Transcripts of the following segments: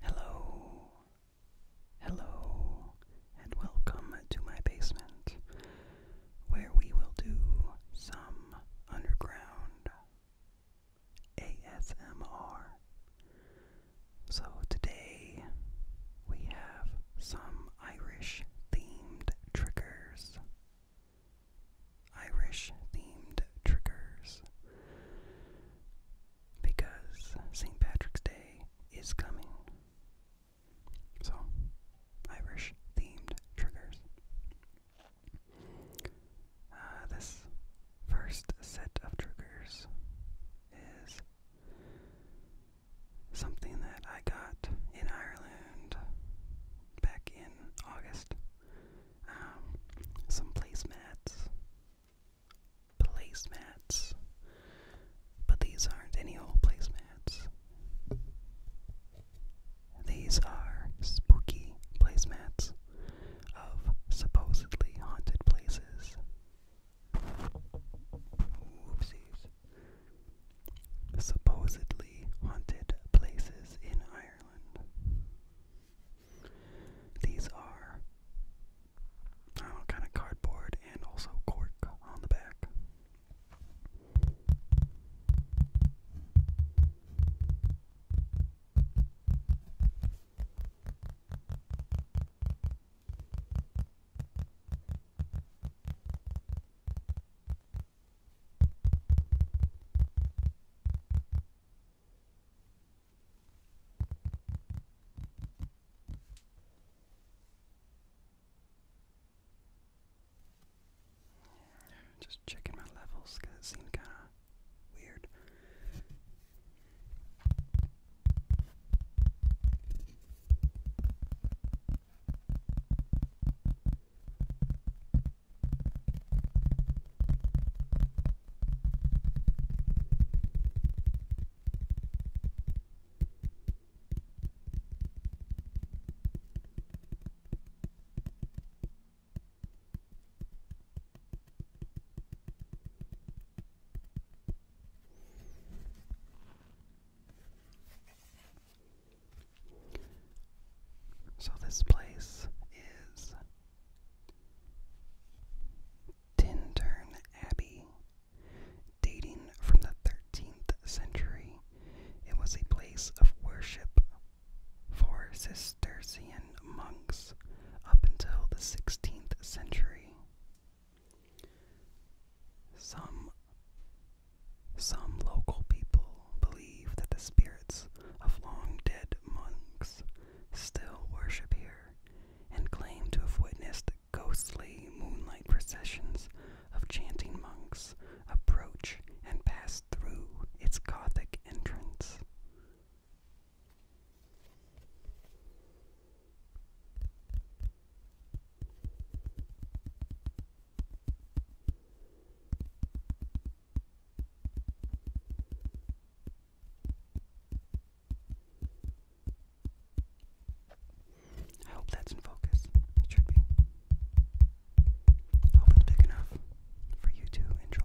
Hello, hello, and welcome to my basement where we will do some underground ASMR. So today we have some Irish themed triggers. Irish themed triggers because St. Patrick's Day is coming. So, Irish themed triggers. Uh, this first set of triggers is something that I got in Ireland back in August. Um, some placemats placemats. But these aren't any old placemats. These are spooky placemats of supposedly haunted places. Supposedly haunted places in Ireland. These are, kind of cardboard and also cork on the back. Just checking my levels because it seemed kind of weird. So, this place is Tintern Abbey. Dating from the 13th century, it was a place of worship for Cistercian monks up until the 16th century. Some some local people believe that the spirits of long dead monks still worship here and claim to have witnessed ghostly moonlight processions of chanting monks approach and pass through its Gothic entrance. I hope that's in focus. It should be. I hope it's big enough for you to enjoy.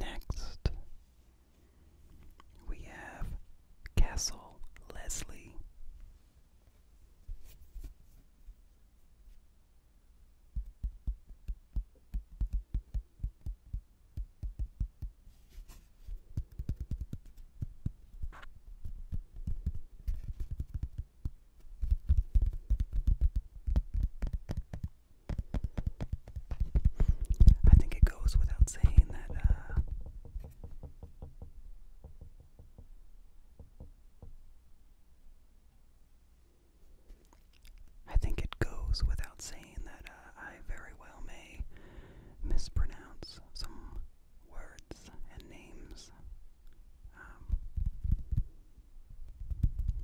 Next, we have Castle Leslie. I think it goes without saying that uh, I think it goes without saying that uh, I very well may mispronounce some words and names um,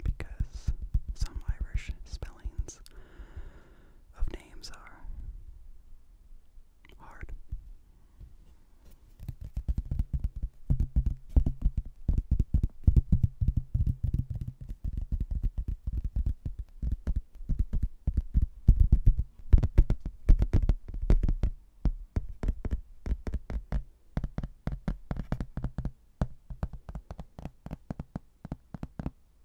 because some Irish spellings of names are hard. All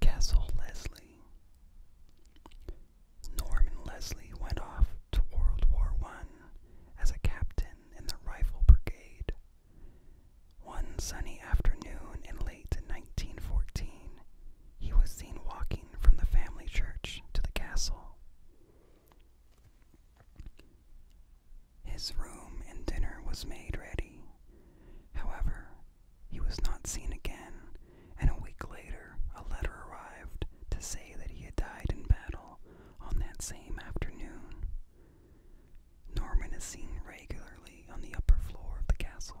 Castle Leslie. Norman Leslie went off to World War I as a captain in the Rifle Brigade. One sunny afternoon in late 1914, he was seen walking from the family church to the castle. His room and dinner was made ready. However, he was not seen again, and a week later a letter arrived to say that he had died in battle on that same afternoon. Norman is seen regularly on the upper floor of the castle.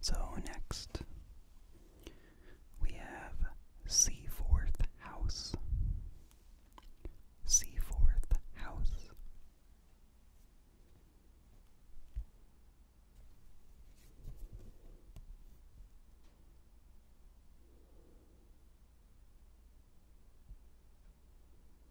So next we have C fourth House. C fourth House.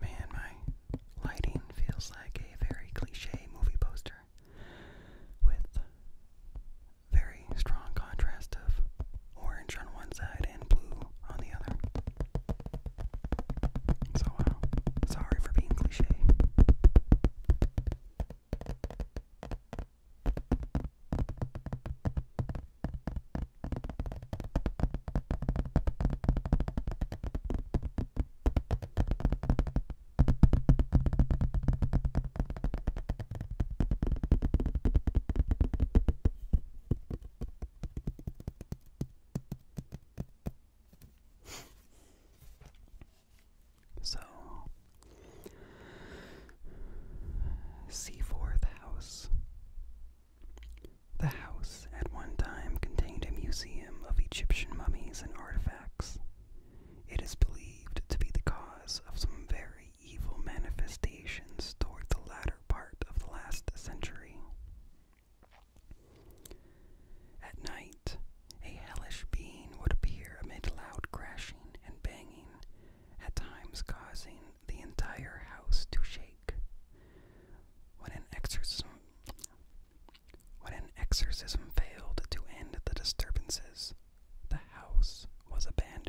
Man, my lighting feels like a very cliche movie poster with very strong contrast of orange on one side and blue on the other. So, uh, sorry for being cliche so Seaforth House. The house at one time contained a museum of Egyptian mummies and artifacts, it is believed to be the cause of some very evil manifestations toward the latter part of the last century. At night, a hellish being would appear amid loud crashing and banging, at times causing the entire house to shake. When an exorcism failed to end the disturbances, the house was abandoned.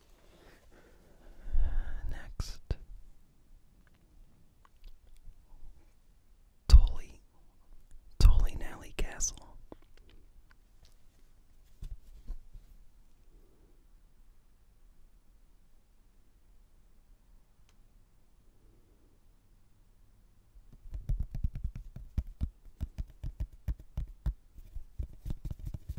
Next, Tolly, Tolly Nally Castle.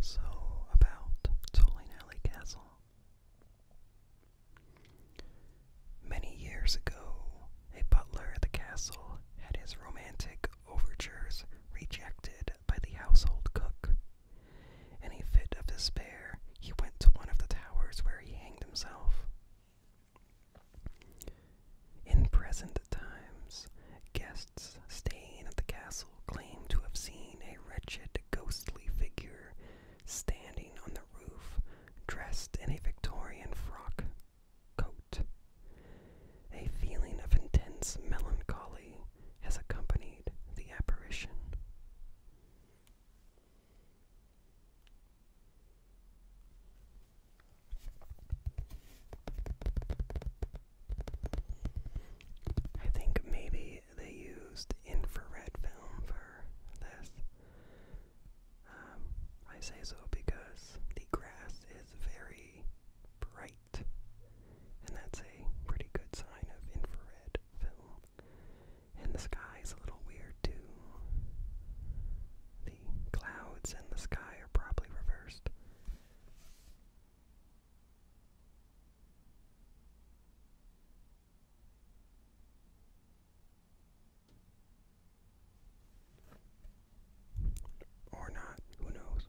So, about Tolling Castle. Many years ago, a butler at the castle had his romantic overtures rejected by the household cook. In a fit of despair, he went to one of the towers where he hanged himself. In present times, guests staying at the castle claim to have seen a wretched, ghostly figure standing on the roof, dressed in a Victorian frock coat. A feeling of intense melancholy has accompanied the apparition. I think maybe they used infrared film for this. Um, I say so because the grass is very bright, and that's a pretty good sign of infrared film. And the sky is a little weird too. The clouds in the sky are probably reversed. Or not, who knows?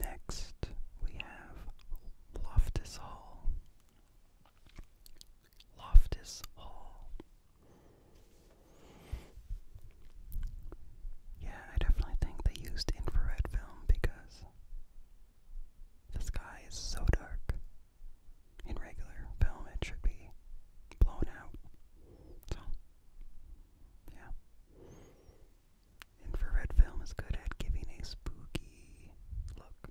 Next, we have Loftus Hall. Loftus Hall. Yeah, I definitely think they used infrared film because the sky is so dark. In regular film, it should be blown out. So, yeah. Infrared film is good at giving a spooky look.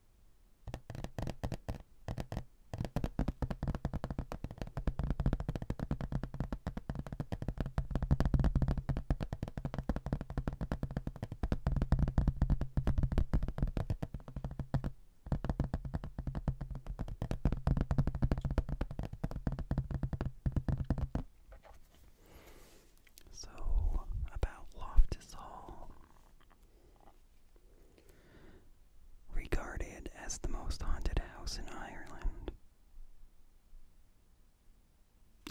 So, about Loftus Hall regarded as the most haunted house in Ireland.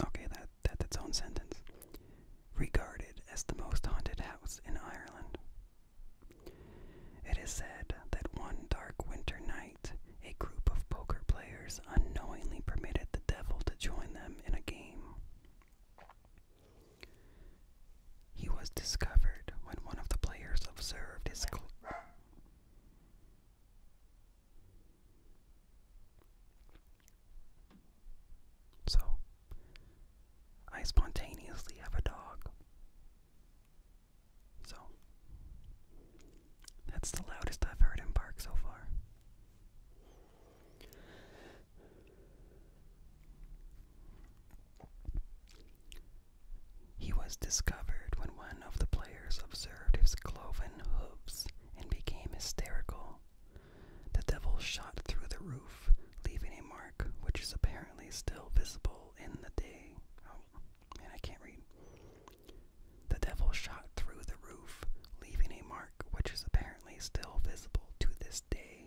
Okay, that, that's its own sentence. Regarded as the most haunted house in Ireland. It is said that one dark winter night, a group of poker players unknowingly permitted the devil to join them in a game. He was discovered when one of the players observed his. Cl so, I spontaneously have a dog. So, that's the loudest I've heard him bark so far. He was discovered when one of the players observed his cloven hooves and became hysterical. The devil shot through the roof, leaving a mark which is apparently still visible in the day. Oh, man, I can't read. The devil shot through the roof, leaving a mark which is apparently still visible to this day.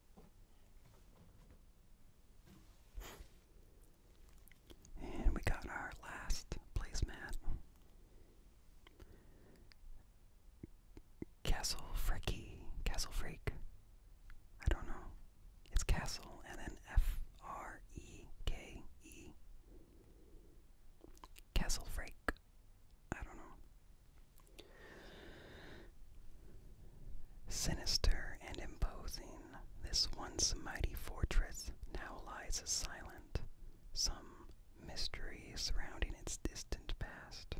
And we got our last placemat. Castle Freaky. Castle Freak. I don't know. It's Castle and then F R E K E. Castle Freak. I don't know. Sinister and imposing, this once mighty fortress now lies silent, some mystery surrounding its distant past.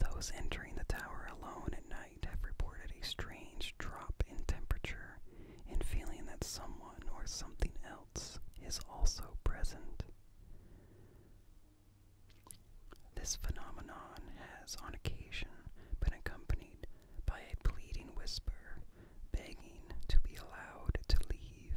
Those entering the tower alone at night have reported a strange drop in temperature and feeling that someone or something else is also present. This phenomenon has, on occasion, been accompanied by a pleading whisper begging to be allowed to leave.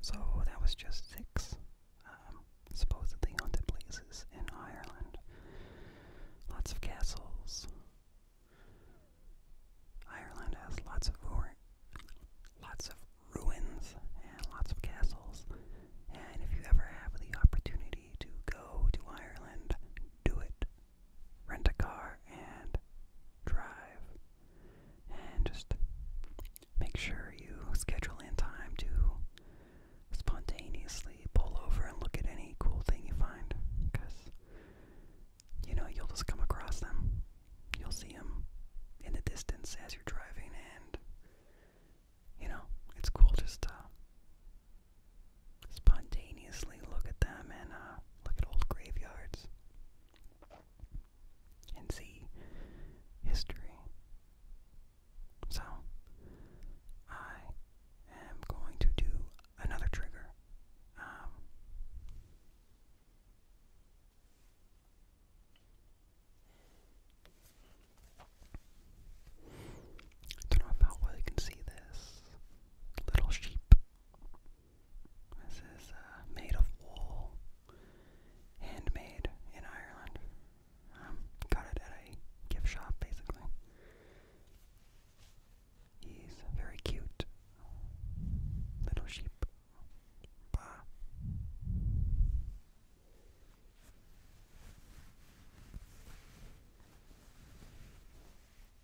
So that was just six um, supposedly haunted places in Ireland. Lots of castles. Ireland has lots of lots of ruins and lots of castles. And if you ever have the opportunity to go to Ireland, do it rent a car and drive. And just make sure you schedule in time to spontaneously pull over and look at any cool thing you find. Because, you know, you'll just come across them. You'll see them in the distance as you're driving, and, you know, it's cool just to spontaneously look at them and uh, look at old graveyards and see history. So, I am going to do another trigger. Um, don't know how well you can see this. Little sheep. This is uh, made of wool, handmade in Ireland. Um, got it at a gift shop, basically. He's very cute little sheep. Bah.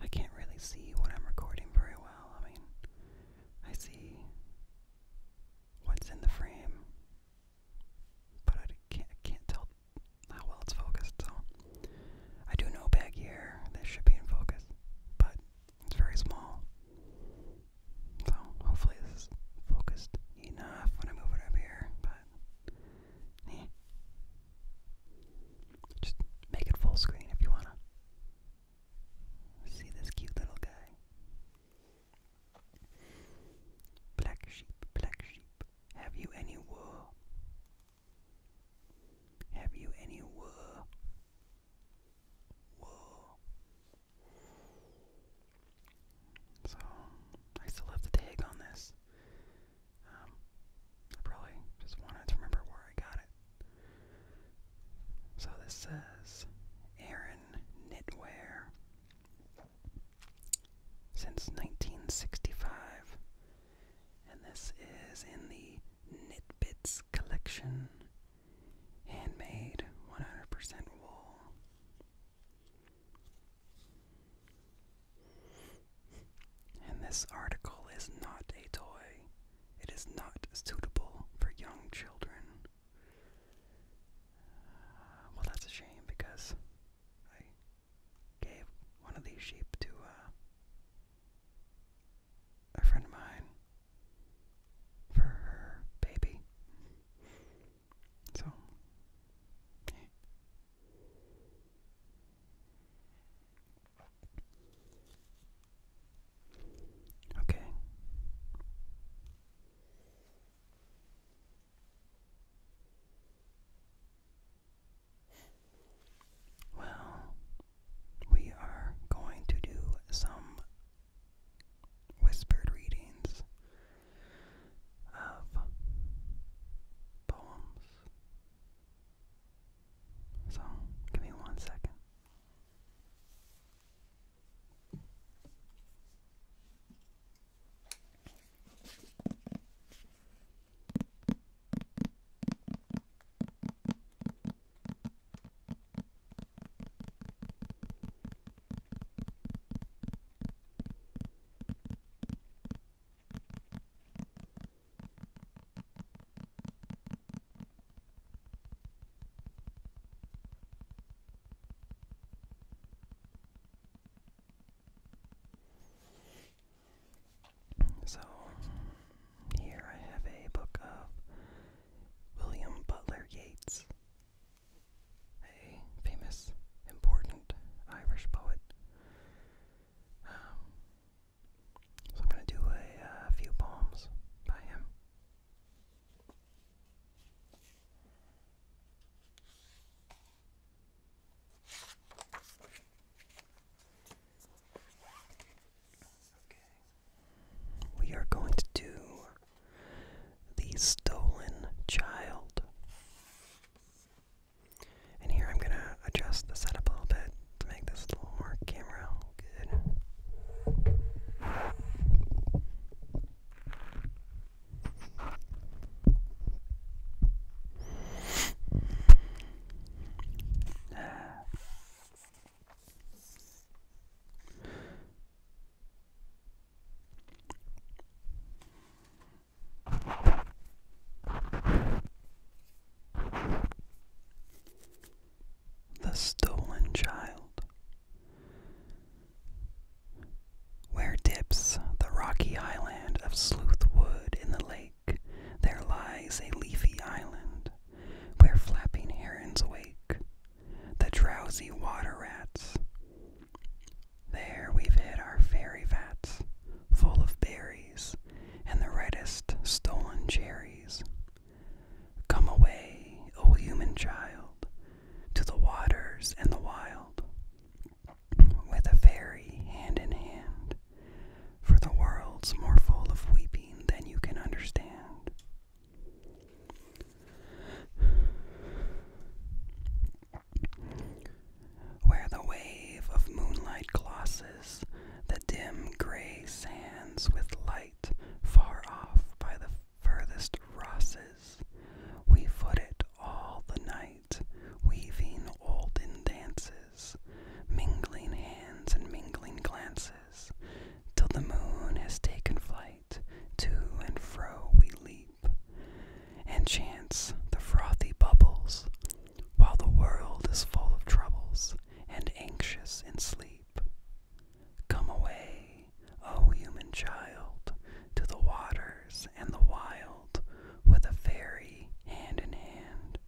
I can't really see what I'm recording very well. I mean, I see what's in the frame, but I can't, can't tell how well it's focused. So I do know back here this should be in focus, but it's very small. So hopefully this is focused enough when I move it up here, but just make it full screen if you wanna. See this cute little guy. Black sheep, black sheep, have you any wool? Have you any wool? Wool. So, I still have the tag on this. Um, I probably just wanted to remember where I got it. So this says Aaron Knitwear. Since 1965. And this is in the Knitbits collection. Handmade 100% wool. And this article is not a toy. It is not suitable for young children. well, that's a shame because I gave one of these sheep to uh, a friend of mine for her baby. So. Okay. Well, we are going to do some whispered readings of poems so, give me one second. So, here I have a book of William Butler Yeats, a famous, important Irish poet. Um, so I'm going to do a, uh, few poems by him. Okay. We are going to do The Stolen Child. And here I'm going to adjust the setup a little bit Let's make this a little more camera good. Ah. The Stolen Child, where dips the rocky island of Sleuthwood in the lake, there lies a leafy island where flapping herons wake, the drowsy water rats. There we've hid our fairy vats, full of berries and the reddest stolen cherries. Come away, O human child, to the waters and the wild, with a fairy hand in hand, for the world's more full of weeping than you can understand. Where the wave of moonlight glosses the dim gray sands with light far off by the furthest rosses. We foot it all the night, weaving olden dances, mingling hands and mingling glances, till the moon has taken flight, to and fro we leap. And chance the frothy bubbles while the world is full of troubles and anxious in sleep, come away, O human child, to the waters and the wild with a fairy hand in hand,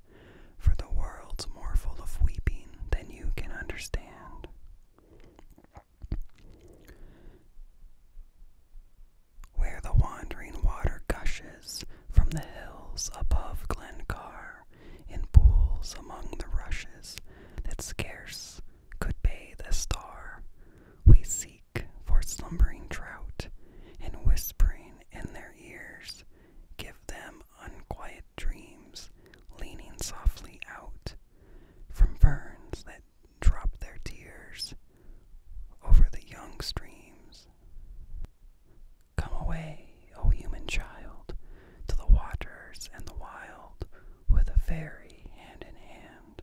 for the world's more full of weeping than you can understand. Where the wandering water gushes from the hills above Glencar in pools among the rushes that scarce could bathe a star. We seek for slumbering trout, and whispering in their ears, give them unquiet dreams, leaning softly out from ferns that drop their tears over the young streams. Come away, O human child, to the waters and the wild, with a fairy hand in hand,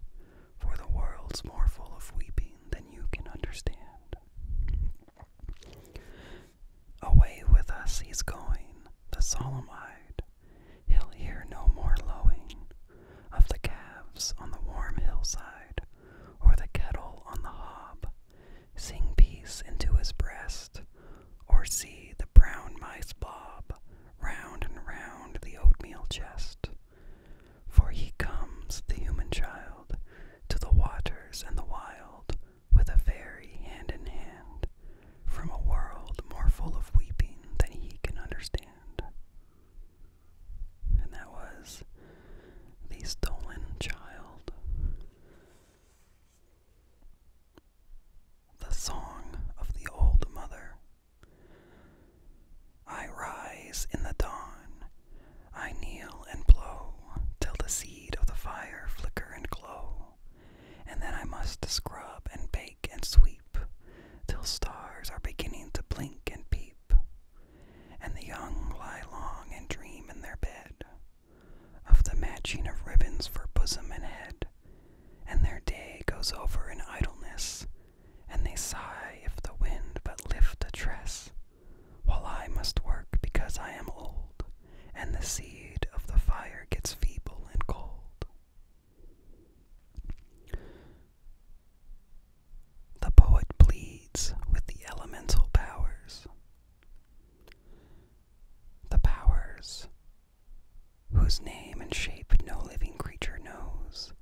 for the world's more full of weeping than you can understand. Away with us he's going, the solemn eyed, he'll hear no more lowing of the calves on the warm hillside, or the kettle on the hob, Sing peace into his breast, or see the brown mice bob round and round the oatmeal chest. For he comes, the human child, to the waters and the wild, with a fairy hand in hand, from a world more full of weeping than he can understand. And that was The Stolen Child the Song of the Old Mother. I rise in the dawn, I kneel and blow, till the seed of the fire flicker and glow, and then I must scrub and bake and sweep, till stars are beginning to blink and peep, and the young lie long and dream in their bed, of the matching of ribbons for bosom and head, and their day goes over in idleness, and they sigh if the wind but lift a tress, while I must work because I am old, and the seed of the fire gets feeble and cold. The poet pleads with the elemental powers the powers, whose name and shape no living creature knows,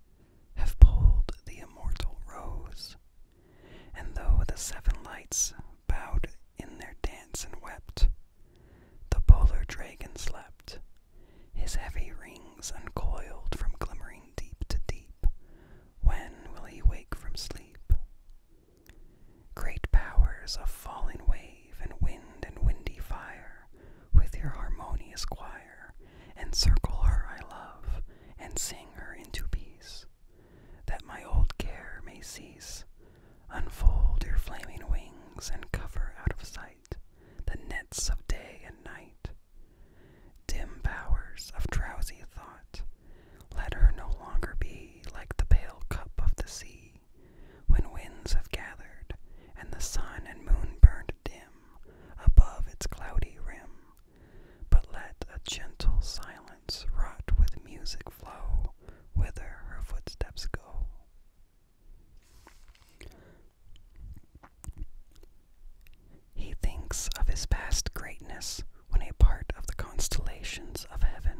have pulled the immortal rose, and though the seven lights bowed in their dance and wept, the polar dragon slept, his heavy rings uncoiled from glimmering deep to deep. When will he wake from sleep? Great powers of falling wave and wind and windy fire, with your harmonious choir, encircle her I love, and sing her into peace, that my old care may cease. Unfold your flaming wings and cover out of sight the nets of day and night. Dim powers of drowsy thought, let her no longer be like the pale cup of the sea, when winds have gathered, and the sun and moon burned dim above its cloudy rim. But let a gentle silence wrought with music flow, whither her footsteps go. He thinks of his past greatness when a part of the constellations of heaven.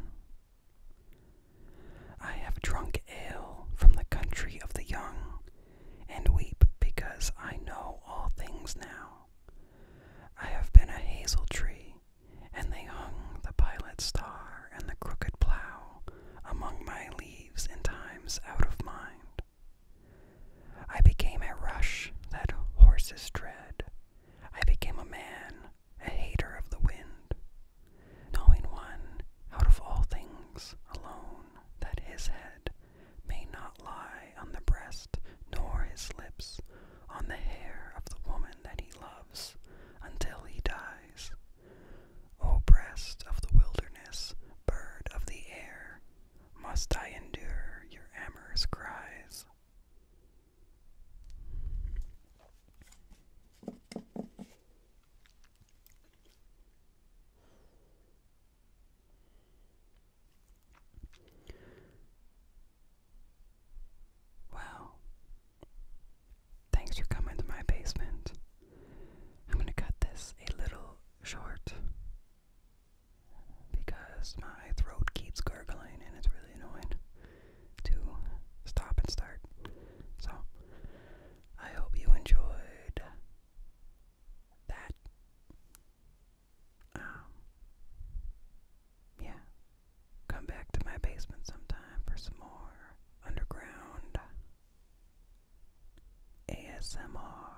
I have drunk ale from the country of the young, and weep because I know all things now. I have been a hazel tree, and they hung the pilot star and the crooked plough among my leaves in times out of mind. I became a rush that horses tread, I became a man, a hater of the wind, knowing one out of all things alone that his head may not lie on the breast, nor his lips on the hair of the woman that he loves until he dies. O breast of the wilderness, bird of the air, must I endure your amorous cries? Well, thanks for coming to my basement. I'm going to cut this a little short because my throat keeps gurgling and it's really annoying to stop and start. So, I hope you enjoyed that. Um, yeah. Come back to my basement sometime for some more underground ASMR.